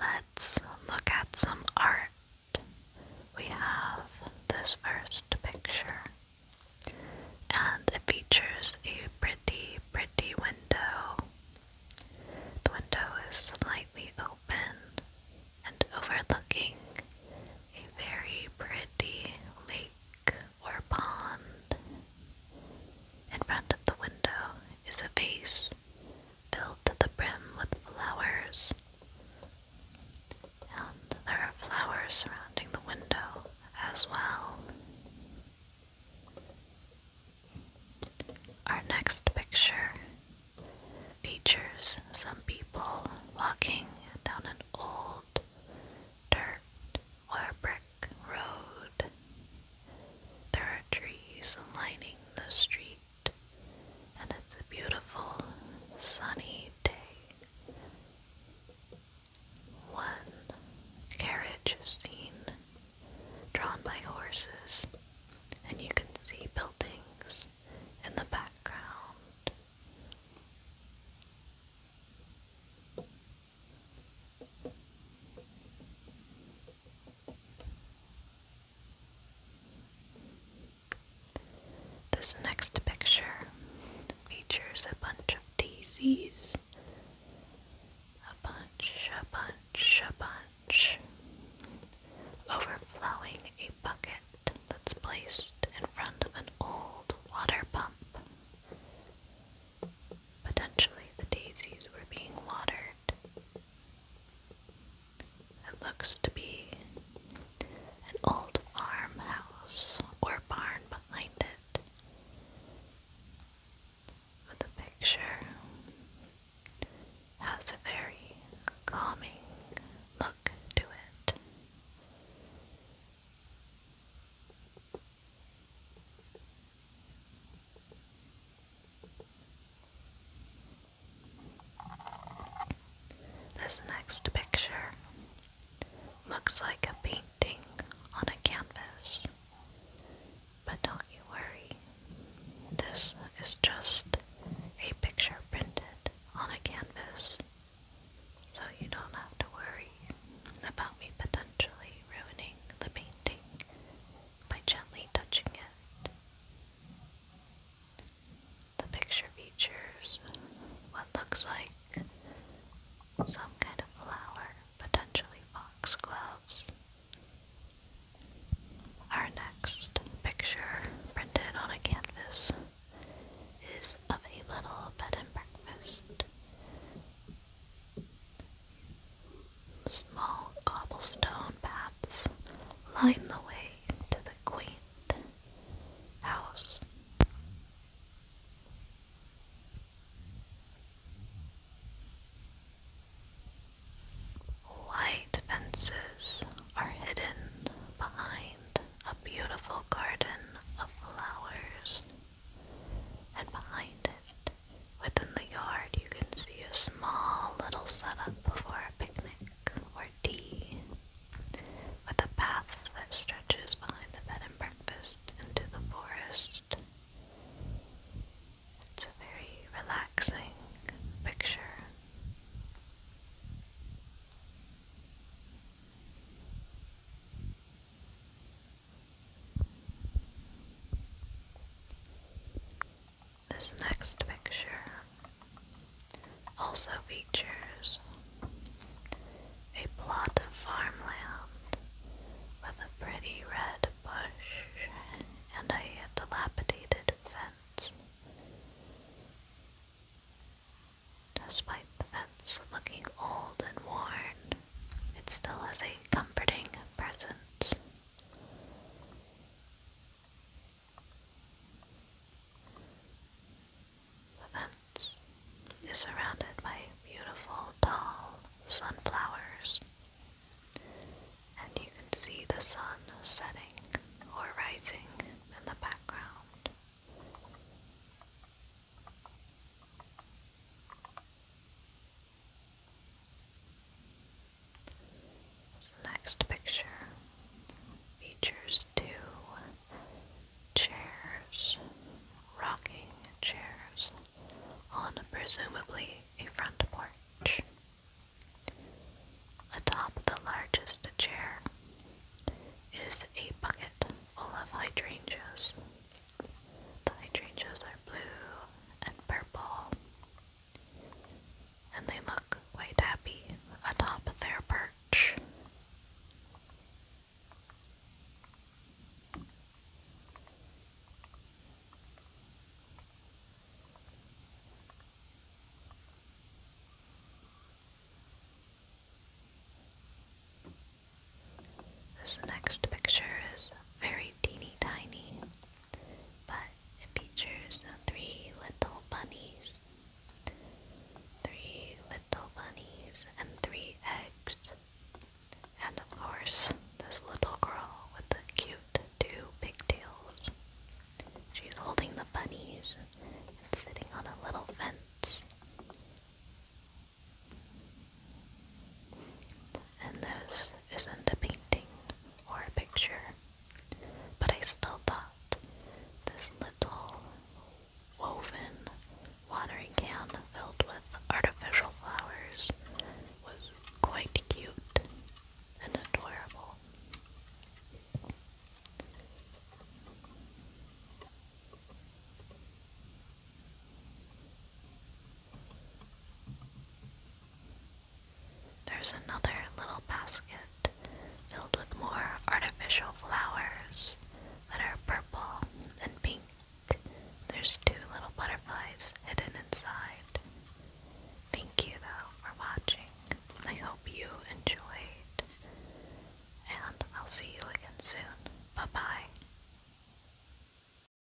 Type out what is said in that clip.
Let's look at some art. We have this first picture, and it features a pretty, pretty window. The window is slightly open and overlooking a very pretty lake or pond. In front of the window is a vase filled to the brim with flowers. And there are flowers surrounding the window as well. Our next picture features some people walking down an old dirt or brick road. There are trees lining the street, and it's a beautiful sunny day. One carriage is seen, drawn by horses, and you can see buildings in the background. This next picture features a bunch of daisies. A bunch, a bunch, a bunch. Overflowing a bucket that's placed in front of an old water pump. Potentially the daisies were being watered. It looks to be an old farmhouse or barn behind it. the picture has a very calming look to it. This next picture looks like a painting on a canvas. But don't you worry, this is just a picture printed on a canvas, so you don't have to worry about me potentially ruining the painting by gently touching it. The picture features what looks like some kind of flower, potentially foxgloves. Our next picture, printed on a canvas, is of a little bed and breakfast. Small cobblestone paths line the way to the quaint house. White fences are hidden behind a beautiful garden of flowers, and behind it Within the yard, you can see a small little setup for a picnic or tea, with a path that stretches behind the bed and breakfast into the forest. It's a very relaxing picture. This next picture also features a plot of farmland with a pretty red bush and a dilapidated fence. Despite the fence looking old and worn, it still has a comforting presence the fence is surrounded by beautiful tall sunflowers, and you can see the sun setting or rising in the background. The next picture features two chairs, rocking chairs, on presumably a front porch. Atop the largest chair is a bucket full of hydrangeas the light are blue and purple, and they look quite happy atop their perch. This next picture is very teeny tiny but it features uh, three little bunnies, three little bunnies, and three eggs. And of course, this little girl with the cute two pigtails. She's holding the bunnies and sitting on a little fence. And this isn't a painting or a picture, but I still thought this little woven watering can filled with artificial flowers was quite cute and adorable. There's another little basket filled with more artificial flowers that are purple and pink. There's two little butterflies hidden inside. Thank you though for watching. I hope you enjoyed. And I'll see you again soon. Bye bye.